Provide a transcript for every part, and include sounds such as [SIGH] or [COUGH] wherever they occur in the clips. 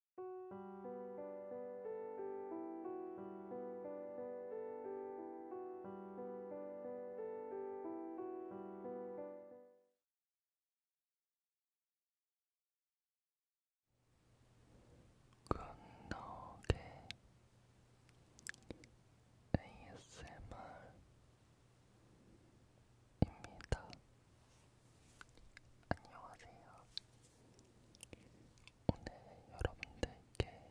굿노게 ASMR입니다. 안녕하세요. 오늘 여러분들께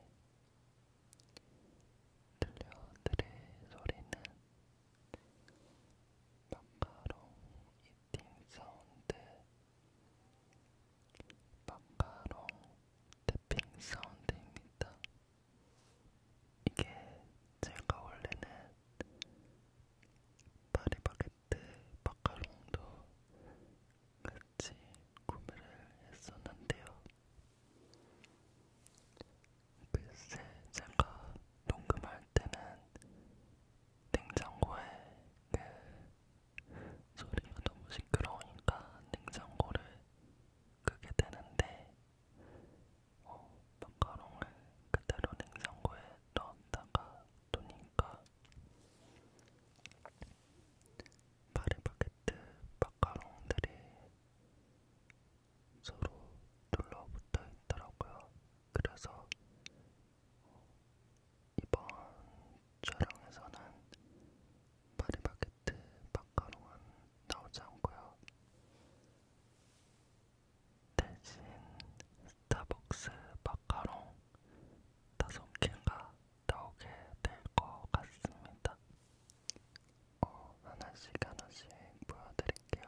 들려드릴 소리는 마카롱 이팅 사운드, 마카롱 태핑 사운드입니다. 이게 제가 원래는 파리바게 그때 마카롱도 같이 구매를 했었는데요. 글쎄 제가 녹음할 때는 냉장고에 그 소리가 너무 시끄러우니까 냉장고를 끄게 되는데 어, 마카롱을 그대로 냉장고에 넣었다가 두니까 파리바게트 마카롱들이 서로 눌러붙어 있더라고요. 그래서 이번 촬영에서는 파리바게트 마카롱은 나오지 않고요. 대신 스타벅스 마카롱 5개가 나오게 될 것 같습니다. 어, 하나씩 하나씩 보여드릴게요.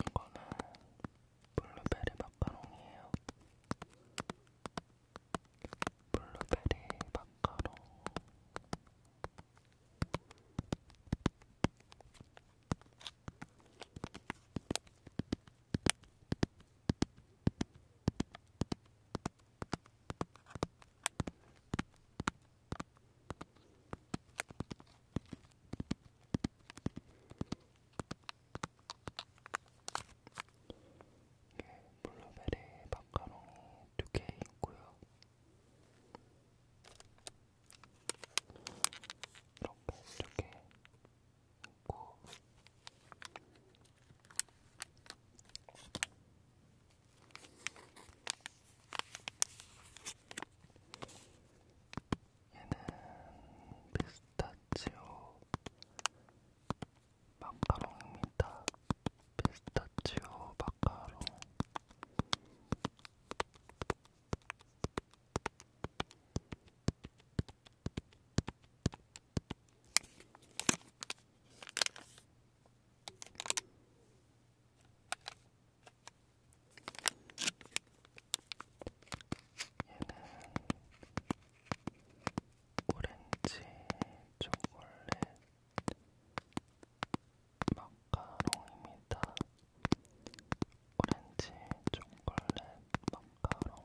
이거는 블루베리 마카롱이에요. 블루베리 마카롱. 이게 블루베리 마카롱이 두개 있고요. 이렇게 두개 있고 얘는 피스타치오 마카롱입니다. 피스타치오 마카롱. 얘는 오렌지 초콜릿 마카롱입니다. 오렌지 초콜릿 마카롱.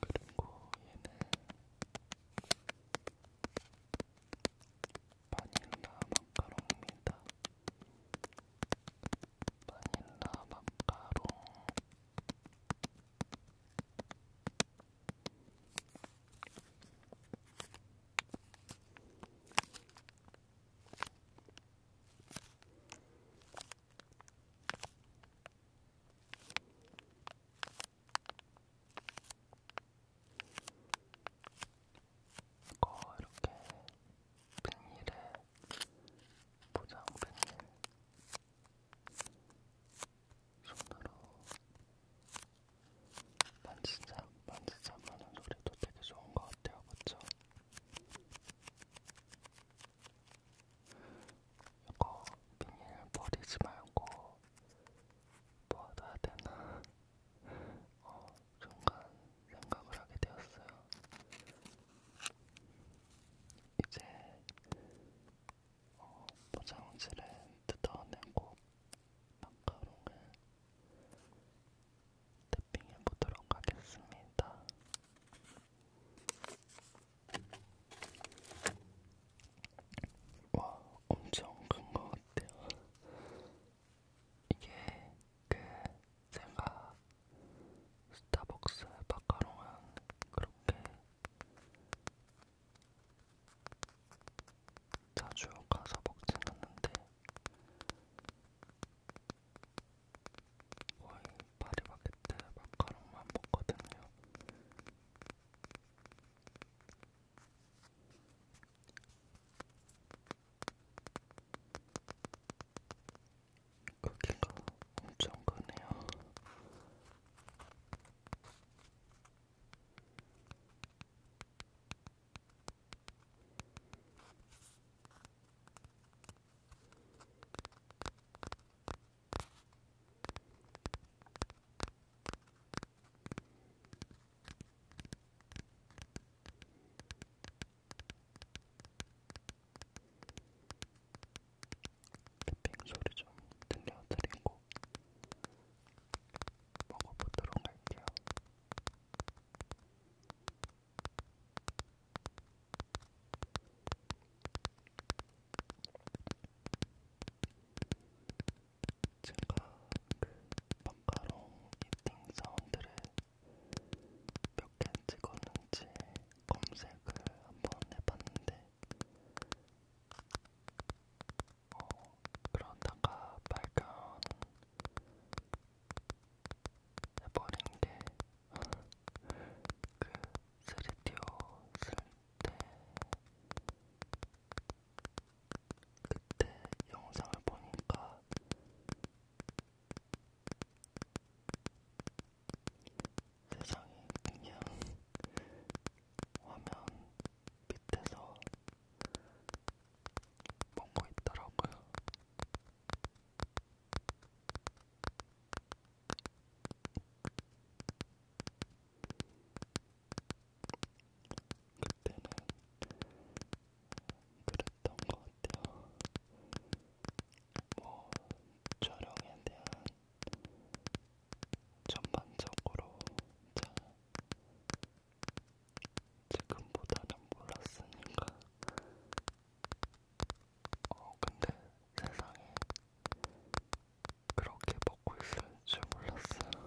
그리고 얘는 바닐라 마카롱입니다. 바닐라 마카롱. 이거 이렇게 비닐에 포장 비닐 손으로 만지작 만지작 하는 소리도 되게 좋은 것 같아요, 그쵸? 이거 비닐 버리지 말고 뭐 놔야 되나 어, 순간 생각을 하게 되었어요. 이제 어, 포장지를 뜯어내고 마카롱을 탭핑해 보도록 하겠습니다. 와, 엄청 큰 것 같아요. 이게 그 제가 스타벅스 마카롱은 그렇게 자주 가서 먹진 않는데 거의 파리바게트 마카롱만 먹거든요. 크기가 엄청 크네요. 핑 소리 좀 들려드리고 먹어보도록 할게요. 제가 그 방가롱 이팅 사운드를 몇개 찍었는지 검색을 한 번 해봤는데 어, 그러다가 발견해버린 게그 쓰리 띄웠을 때 그때 영상을 보니까 세상이 그냥 화면 밑에서 먹고 있더라고요. 그때는 그랬던 것 같아요. 뭐 촬영에 대한 전반적으로 자 지금보다는 몰랐으니까. 어 근데 세상에 그렇게 먹고 있을 줄 몰랐어요.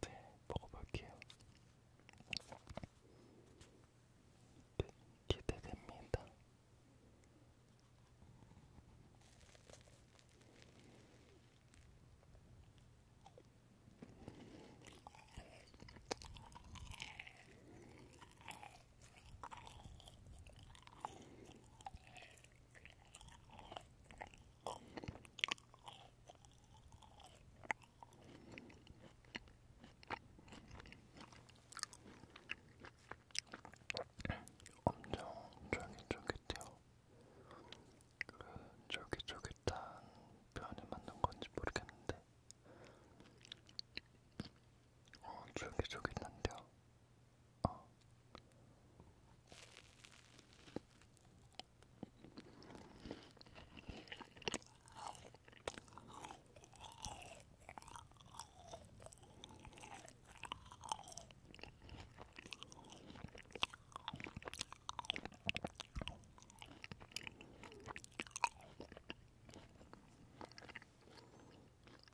네, 먹어볼게요. 기, 네, 기대됩니다. 엄청 쫄깃쫄깃해요. 그 쫄깃쫄깃한 표현이 맞는 건지 모르겠는데 어, 줄기줄기 있는데요. 어.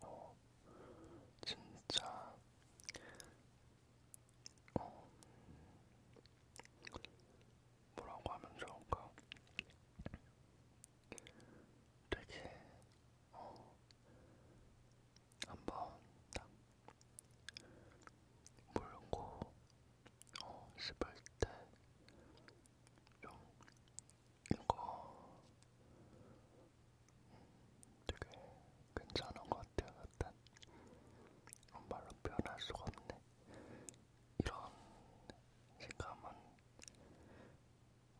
어, 진짜 어, 뭐라고 하면 좋을까? 되게 어, 한번 딱 물고 어, 씹을 때 좀 이거 음, 되게 괜찮은 것 같아요. 일단 말로 표현할 수가 없네. 이런 식감은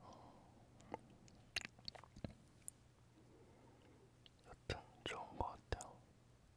어, 여튼 좋은 것 같아요.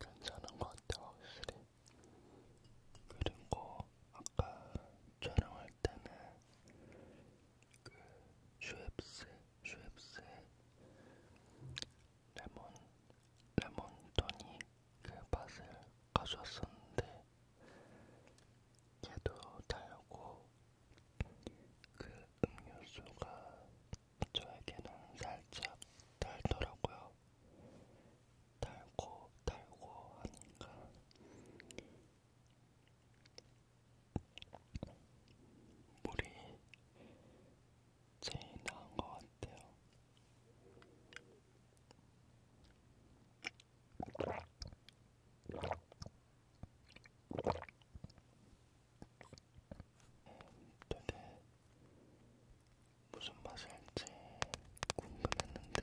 괜찮은 것 같아 확실히 그리고 아까 촬영할 때는 그 슈엡스 슈엡스 레몬 레몬 토닉 그 맛을 가져왔었는데 얘도 달고 그 음료수가 저에게는 살짝 달더라고요. 달고 달고 하니까 물이 제일 나은 것 같아요. 네, 되게 무슨 맛일지 궁금했는데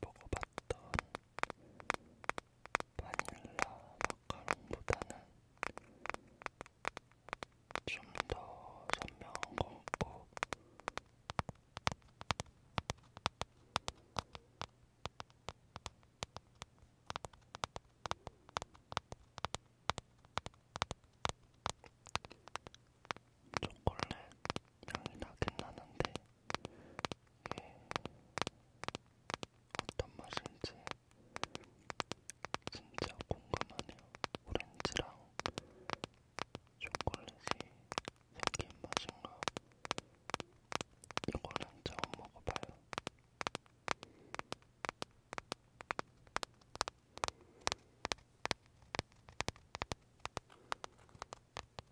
먹어봤던 바닐라 마카롱보다는 좀 더 선명한 것 같고 초콜릿 향이 나긴 나는데 이게 어떤 맛인지 진짜 궁금하네요. 오렌지랑 초콜릿이 생긴 맛인가? 이거는 처음 먹어봐요.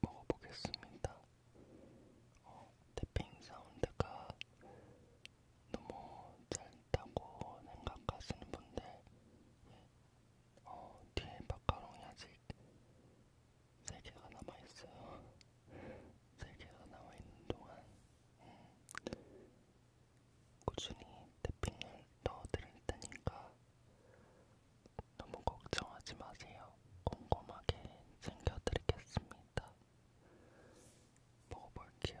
먹어보겠습니다. 어, 태핑 사운드가 너무 짧다고 생각하시는 분들, 예. 어, 뒤에 마카롱이 아직 3개가 남아있어요. 3개가 남아있는 동안 음, 꾸준히 태핑을 넣어드릴 테니까 너무 걱정하지 마세요. 꼼꼼하게 챙겨드리겠습니다. 먹어볼게요.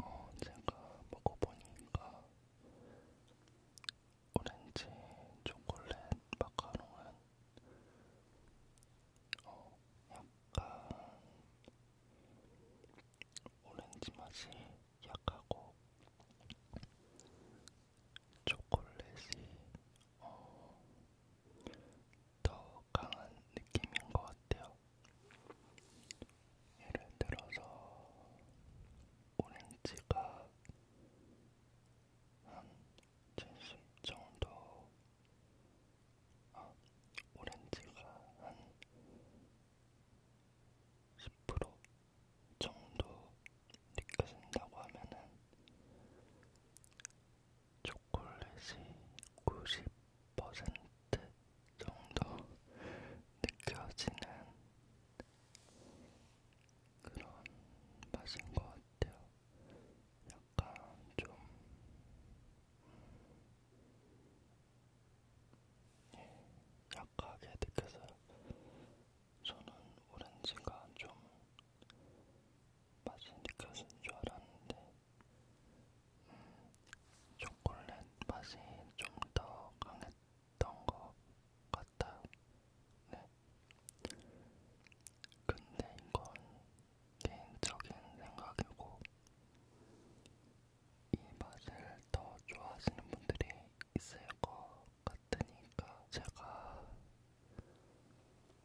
어, 제가 먹어보니까 오렌지 초콜릿 마카롱은 어, 약간 오렌지 맛이 약하고 초콜릿이 어, 더 강한 느낌인 것 같아요. 예를 들어서 오렌지가 한70 정도, 아, 오렌지가 한10% 정도 느껴진다고 하면은 초콜릿이 90% 정도 [LAUGHS] 느껴지는 그런 맛인 것 같아요. 약간 좀 네, 약하게 느껴져요. 저는 오렌지가 좀 맛이 느껴진 줄 알았는데 음, 초콜릿 맛이 좀 더 강했. 있던 것 같아요. 네. 근데 이건 개인적인 생각이고, 이 맛을 더 좋아하시는 분들이 있을 것 같으니까, 제가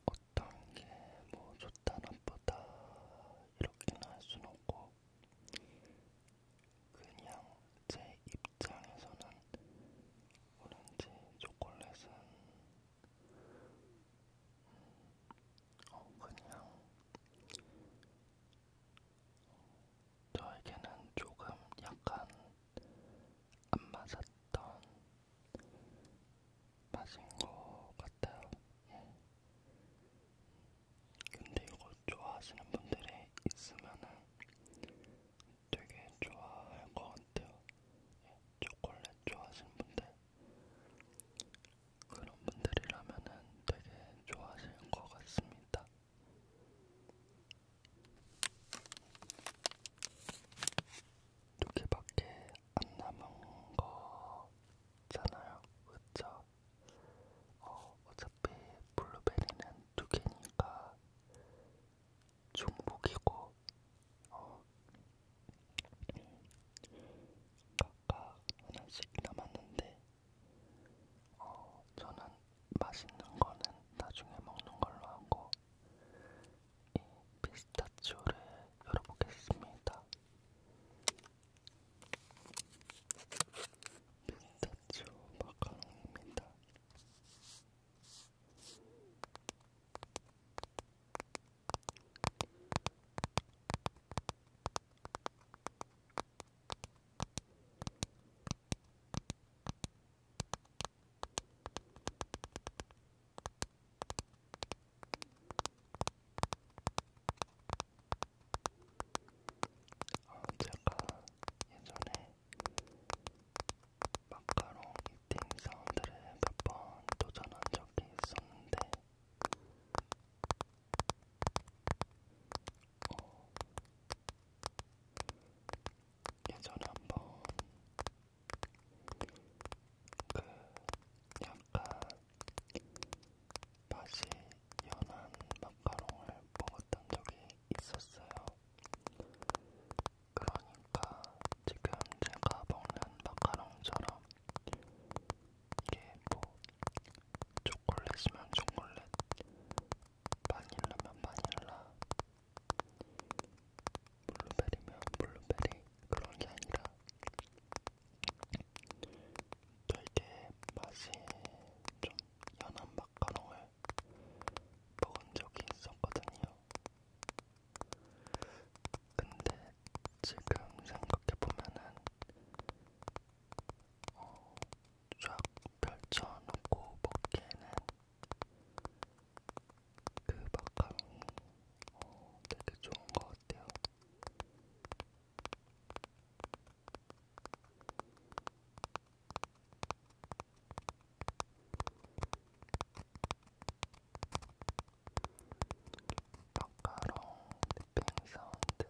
어떤 게 뭐 좋다 나쁘다 이렇게는 할 수는 없고, 그냥 제 입장에서는 오렌지 초콜릿은 어, 그냥 저에게는 조금 약간 안 맞았던 맛인 것 같아요. 예. 근데 이걸 좋아하시는 분들이 있으면은 되게 좋아할 것 같아요. 예, 초콜릿 좋아하시는 분들 그런 분들이라면은 되게 좋아하실 것 같습니다. 두 개밖에 안 남은 거잖아요, 그쵸? 어, 어차피 블루베리는 두 개니까 중복이고 어, 각각 하나씩 남았는데 어, 저는 맛있는 거는 나중에 먹는 걸로 하고 이 피스타치오를 열어보겠습니다. 피스타치오 마카롱입니다. 아, 제가 예전에 마카롱 이팅 사운드를 몇번 도전한 적이 있었는데 어, 예전에 한번 그 약간 맛이 연한 마카롱을 먹었던 적이 있었어요. 그러니까 지금 제가 먹는 마카롱처럼 이게 뭐 초콜릿이면 초콜릿, 바닐라면 바닐라, 블루베리면 블루베리 그런 게 아니라 되게 맛이 좀 연한 맛. 마카롱을 먹은 적이 있었거든요. 근데 지금 생각해보면은 어, 쫙 펼쳐놓고 먹기에는 그 마카롱이 어, 되게 좋은 것 같아요. 마카롱 립핑 사운드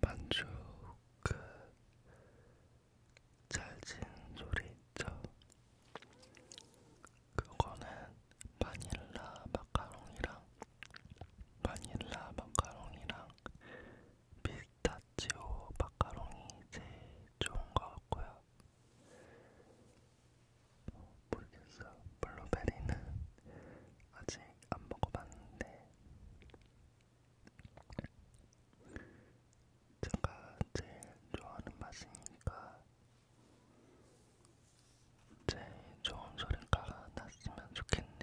만족 그 찰진 소리 있죠? 그거는 바닐라 마카롱이랑 바닐라 마카롱이랑 피스타치오 마카롱이 제일 좋은 것 같고요. 모르겠어요. 블루베리는 아직 안 먹어봤는데 제가 제일 좋아하는 맛이니까 제일 좋은 소리가 났으면 좋겠네요.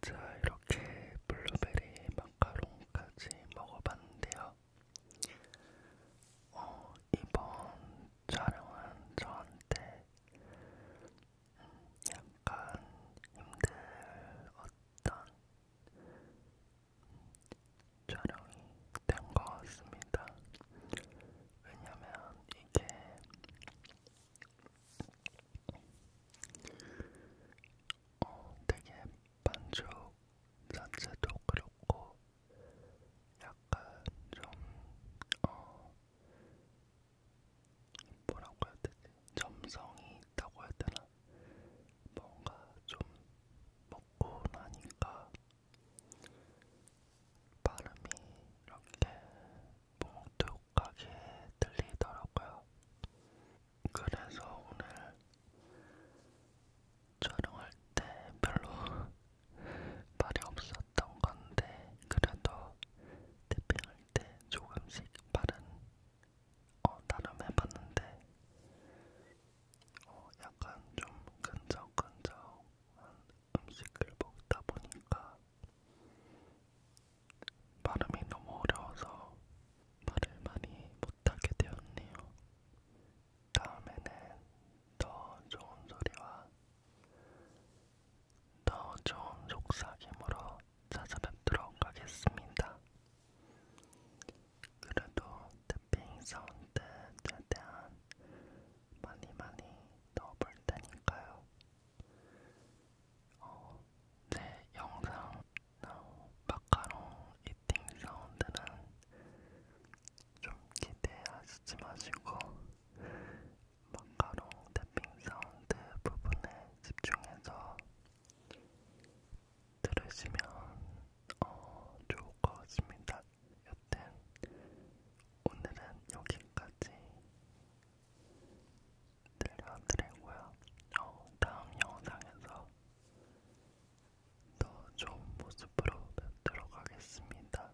자, 이렇게 블루베리 마카롱까지 먹어봤는데요. 어, 이번 촬영은 저한테 약간 힘들었던 촬영이 된 것 같습니다. 왜냐면 이게 어, 되게 반죽 자체도 그렇고 약간 좀 어, 뭐라고 해야 되지? 점성이 있다고 해야 되나? 뭔가 좀 먹고 나니까 발음이 이렇게 뭉툭하게 들리더라고요. 그래서 오늘 촬영할 때 별로 말이 없었던 건데 그래도 태핑할 때 조금씩 말은 어, 나름 해봤는데 어, 약간 좀 근적근적한 음식을 먹다 보니까 발음이 너무 어려워서 말을 많이 못하게 되었네요. 다음에는 더 좋은 소리와 더 좋은 속삭임으로 찾아뵙도록 하겠습니다. 그래도 태핑 사운드 최대한 많이 많이 넣어볼 테니까요. 어, 내 네, 영상 어, 마카롱 이팅 사운드는 좀 기대하시지 마시고 마카롱 탭핑 사운드 부분에 집중해서 들으시면 어, 좋을 것 같습니다. 여튼 오늘은 여기까지 들려드리고요. 어, 다음 영상에서 더 좋은 모습으로 뵙도록 하겠습니다.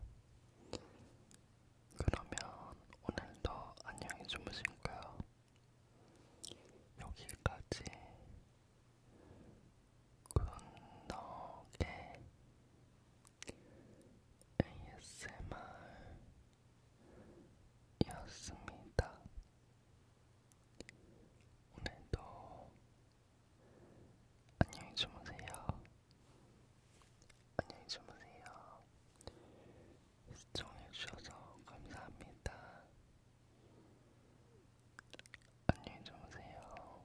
그러면 오늘도 안녕히 주무시고요. 여기까지 굿노게 ASMR 이었습니다. 오늘도 안녕히 주무세요. 안녕히 주무세요. 시청해주셔서 감사합니다. 안녕히 주무세요.